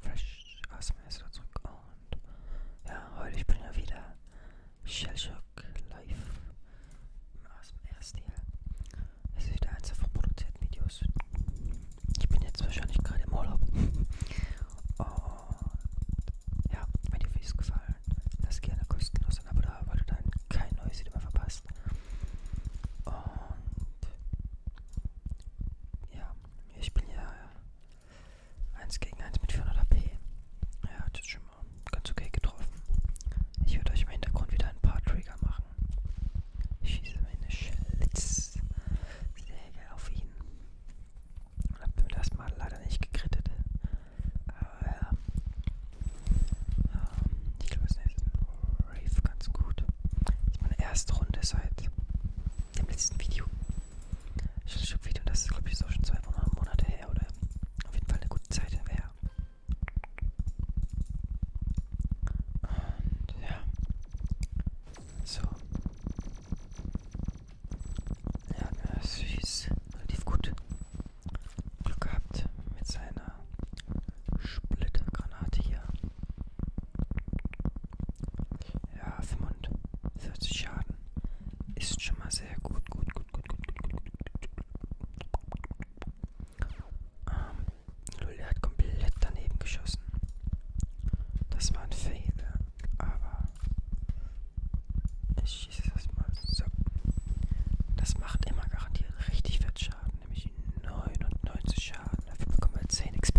Fresh aus dem Essen zurück und ja, heute ich bringe wieder Shellshock live aus dem Erststil. Es ist wieder eins von produzierten Videos. Ich bin jetzt wahrscheinlich gerade im Urlaub. und ja, wenn dir Videos gefallen, lass gerne kostenlos ein Abo da, weil du dann kein neues Video mehr verpasst. Und ja, ich bin ja 1 äh, gegen 1 mit 400 AP. Ja, hat jetzt schon mal ganz okay getroffen. Ich werde euch im Hintergrund wieder ein paar Trigger machen. Ich schieße meine Schlitzsäge auf ihn. Und hab mir das mal leider nicht gekrittet. Aber ja. Ähm, ich glaube, es ist Rave ganz gut. Das ist meine erste Runde seit im letzten Video. Ich hatte schon ein Video, das ist glaube ich so schon zwei Wochen, Monate her oder auf jeden Fall eine gute Zeit her. Und ja. So. Ja, na, süß. Relativ gut. Glück gehabt mit seiner Splittergranate hier. Ja, 45 Schaden. Ist schon mal sehr gut, gut, gut, gut, gut, gut, gut, gut. Ähm, Lully hat komplett daneben geschossen. Das war ein Fehler, aber ich schieße das mal so. Das macht immer garantiert richtig fett Schaden, nämlich 99 Schaden. Dafür bekommen wir 10 XP.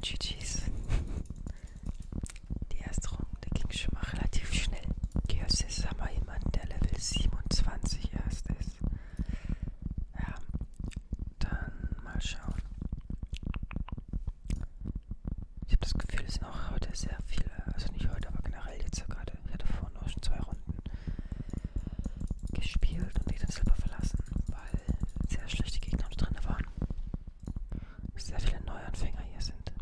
GG's. Die erste Runde ging schon mal relativ schnell. Geos ist aber jemand, der Level 27 erst ist. Ja, dann mal schauen. Ich habe das Gefühl, es sind auch heute sehr viele, also nicht heute, aber generell jetzt gerade. Ich hatte vorhin auch schon zwei Runden gespielt und die dann selber verlassen, weil sehr schlechte Gegner drin waren sehr viele Neuanfänger hier sind.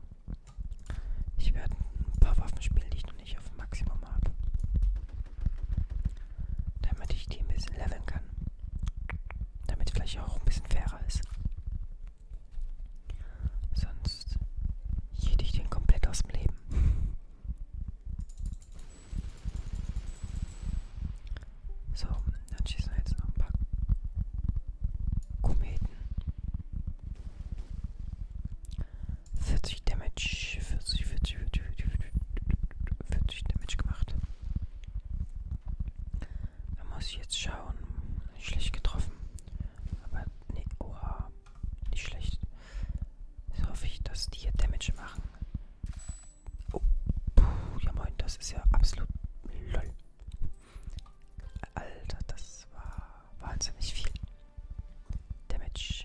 Ich werde ein paar Waffen spielen, die ich noch nicht auf Maximum habe. Damit ich die ein bisschen leveln kann. Damit vielleicht auch ein bisschen fairer ist. Sonst jede ich den komplett aus dem Leben. So, dann schießen wir jetzt noch ein paar Kometen. 40 Damage, 40, 40, 40, 40 Damage gemacht. Da muss ich jetzt schauen. Schlecht getroffen. Aber nee, oha, ah, nicht schlecht. Jetzt hoffe ich, dass die hier Damage machen. Oh, puh, ja moin, das ist ja absolut lol. Alter, das war wahnsinnig viel Damage.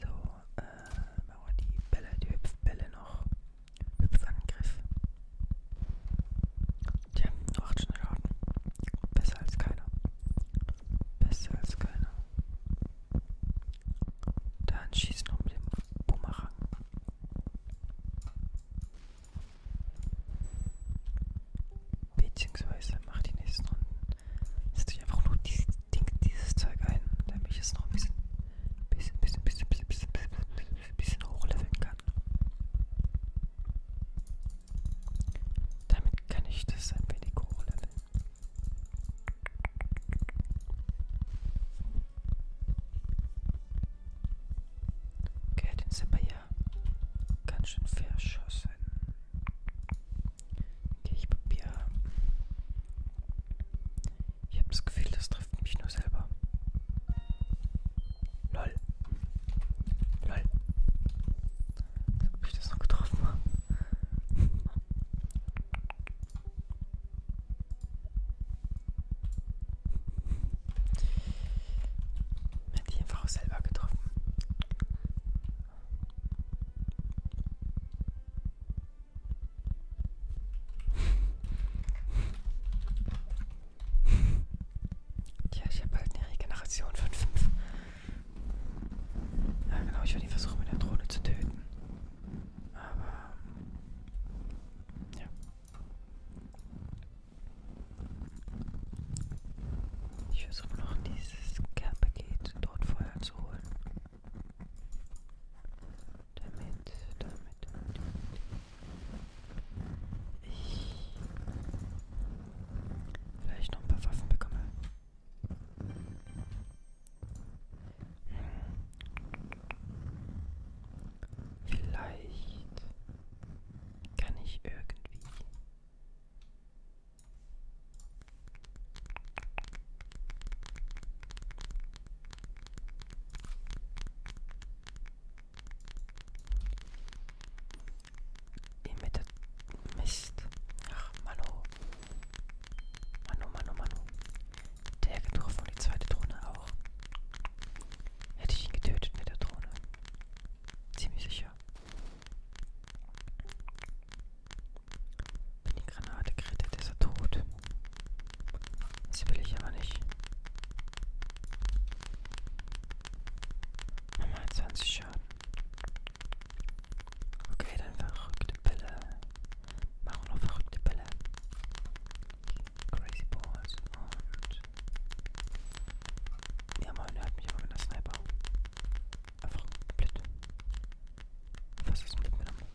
So, äh, machen wir die Bälle, die Hüpfbälle noch. Hüpfangriff. Tja, nur 8 Schaden. Besser als keiner. Besser als keiner. Dann schieß noch mit dem Bumerang. Beziehungsweise mach die nächsten Runden. Setze ich einfach nur dieses, Ding, dieses Zeug ein, damit ich es noch ein bisschen, bisschen, bisschen, bisschen, bisschen, bisschen, bisschen, bisschen hochleveln kann. Damit kann ich das ein wenig hochleveln. Okay, den sind wir ja ganz schön verschossen. Okay, ich probiere. Ich habe das Gefühl, das trifft mich nur selber. Lol. Lol. Ob ich das noch getroffen habe. Hat die einfach auch selber getroffen. Tja, ich habe halt eine Regeneration von 5. Ja genau, ich werde ihn versuchen mit der Drohne zu töten. Aber ja. Ich versuche noch dieses Care-Paket dort vorher zu holen. Damit, damit, damit. Ich vielleicht noch ein paar Waffen bekomme. Vielleicht kann ich irgendwie... Mist. Ach, Manu. Manu, Manu, Manu. Der getroffen und die zweite Drohne auch. Hätte ich ihn getötet mit der Drohne. Ziemlich sicher. Wenn die Granate krittet, ist er tot. Das will ich aber nicht. Nochmal 20 Schaden. Okay, dann verrückte Bälle. Machen noch verrückte Bälle. Crazy Balls und. Ja, man hört mich immer mit der Sniper. Einfach blöd. Fast das Blöd miteinander.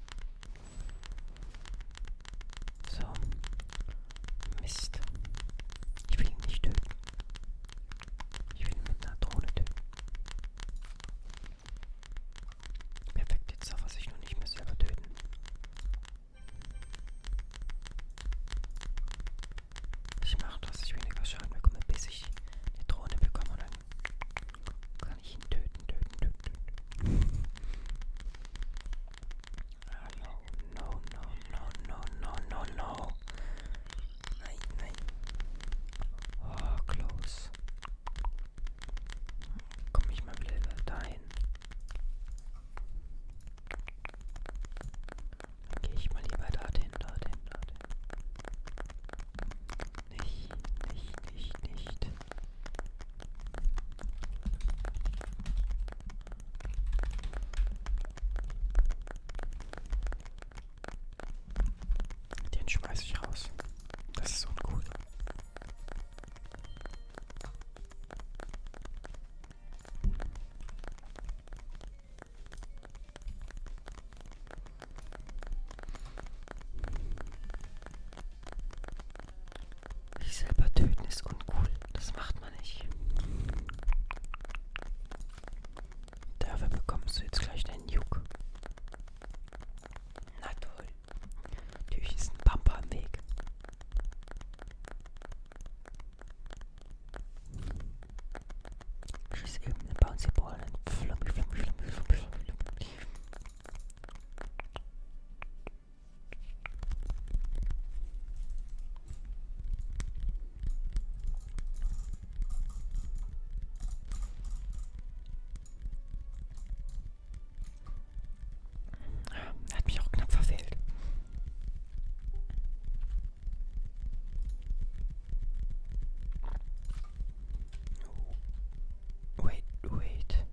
So. Mist. Ich will ihn nicht töten. Ich will ihn mit einer Drohne töten. Perfekt, jetzt darf er sich noch nicht mehr selber töten. Ich mache, dass ich weniger Schaden bekomme, bis ich eine Drohne bekomme und dann kann ich ihn töten, töten, töten, töten. Ah, no, no, no, no, no, no, no. Nein, nein. Oh, close. Komme ich mal wieder dahin. Gehe ich mal lieber dorthin, dorthin, dorthin. Nicht, nicht, nicht, nicht. Den schmeiß ich raus. Das ist uncool. Sich selber töten ist uncool. Das macht man nicht. Dafür bekommst du jetzt gleich deinen Juck. Na toll. Natürlich ist ein Pampa im Weg. Schieß eben eine Bouncy Ball und flummi, flummi, flummi, flummi, flummi, flummi. Hat mich auch knapp verfehlt. Wait, wait.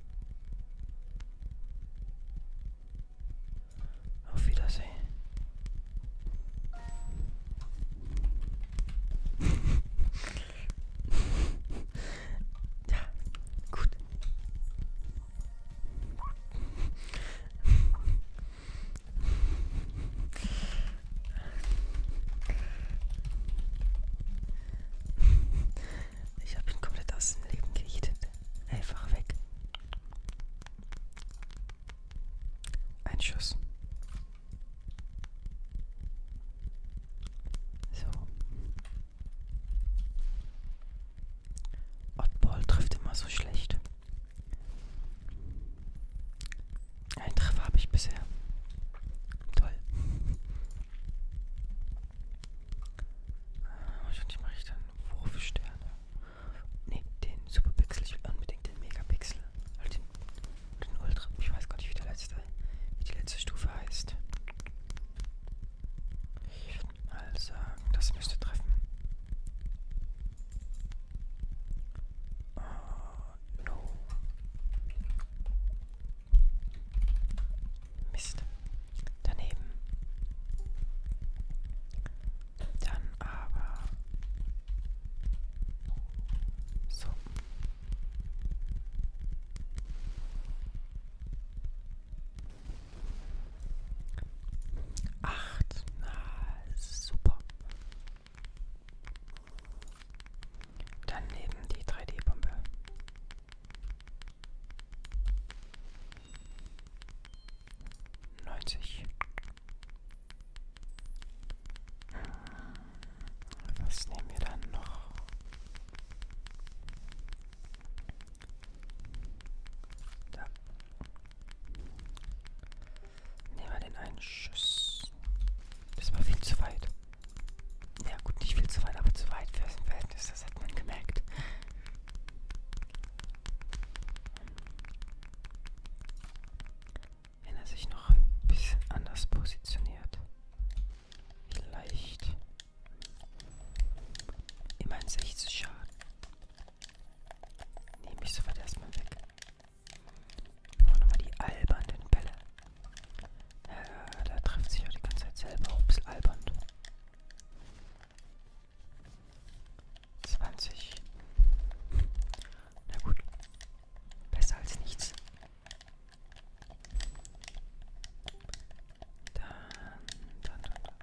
Auf Wiedersehen. ja, gut. Ich habe ihn komplett aus dem Leben gejätet. Einfach weg. Ein Schuss. So. Oddball trifft immer so schlecht. Ein Treffer habe ich bisher. Toll. Äh, wahrscheinlich mache ich dann Wurfsterne. Ne, den Superpixel. Ich will unbedingt den Megapixel. Oder halt den, den Ultra. Ich weiß gar nicht, wie, der letzte, wie die letzte Stufe heißt. Mal sagen, das müsste treffen. Oh, no. Mist. Daneben. Dann aber. So. Acht. Na, super. Daneben die 3D-Bombe. Neunzig. Was nehmen wir dann noch? Da. Nehmen wir den einen Schuss. Das war viel zu weit. Ja gut, nicht viel zu weit, aber zu weit für das Verhältnis, das hat man gemerkt. Wenn er sich noch ein bisschen anders positioniert. Vielleicht. Immerhin 60 Schaden. Nehme ich sofort erstmal weg. Machen nochmal die albernen Bälle. Äh, da trifft sich ja die ganze Zeit selber. Ups, albern. 20. Na gut. Besser als nichts. Dann, dann, dann, dann.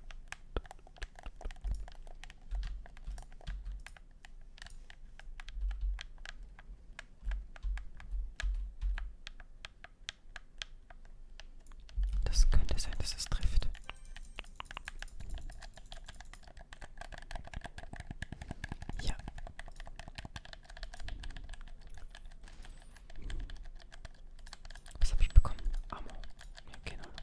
Das könnte sein, dass es trifft. Ja. Was habe ich bekommen? Ammo. Ja, keine Ahnung.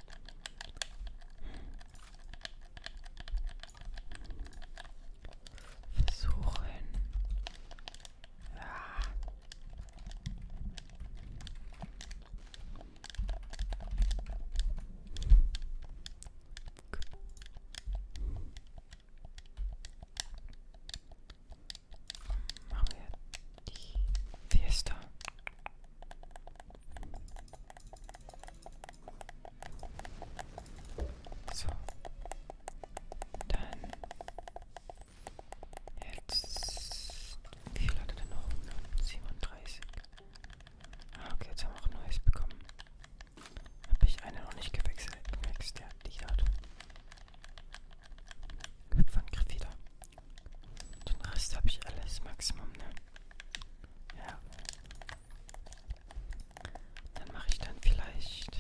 Versuchen. Ja. Ah machen wir die Fiesta. So. Dann. Jetzt. Wie viel hat er denn noch? 37. Ah, okay, jetzt haben wir auch ein neues bekommen. Habe ich eine noch nicht gewechselt? Gewechselt, ja, die hat. Hüpfen, wieder. Den Rest habe ich alles Maximum, ne? Ja. Dann mache ich dann vielleicht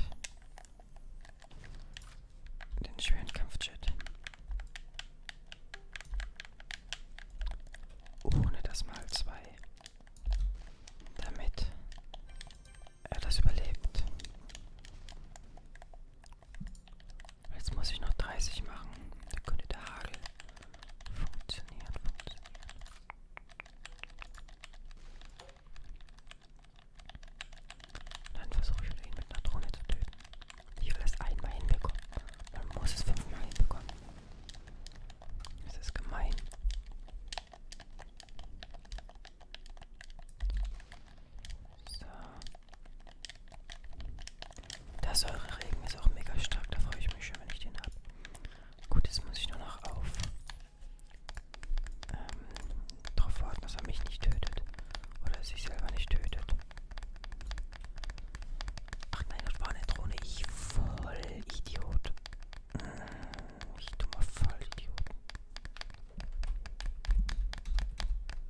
den schweren Kampfjet. Ohne das mal zwei. Damit er das überlebt. Jetzt muss ich noch 30 machen. Dann könnte der Hagel funktionieren. funktionieren. Dann versuche ich wieder ihn mit einer Drohne zu töten. Ich will das einmal hinbekommen. Man muss es fünfmal hinbekommen. Das ist gemein. So. Der Säureregen ist auch mega stark, da freue ich mich schon, wenn ich den habe. Gut, jetzt muss ich nur noch auf ähm, darauf warten, dass er mich nicht tötet. Oder sich selber nicht tötet. Ach nein, das war eine Drohne. Ich voll Idiot. Mm, ich dummer Vollidiot.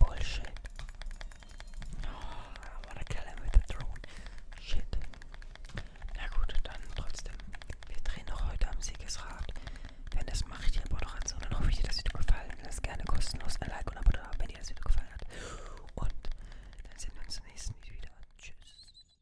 Bullshit. Oh, ah, I wanna kill him with the drone. Shit. Na gut, dann trotzdem. Wir drehen noch heute am Siegesrad. Wenn das mache ich die Moderation, dann hoffe ich dir das Video gefallen. Lass gerne kostenlos ein Like und ein Abo da, wenn dir das Video gefallen hat. Und dann sehen wir uns im nächsten Video wieder. Tschüss.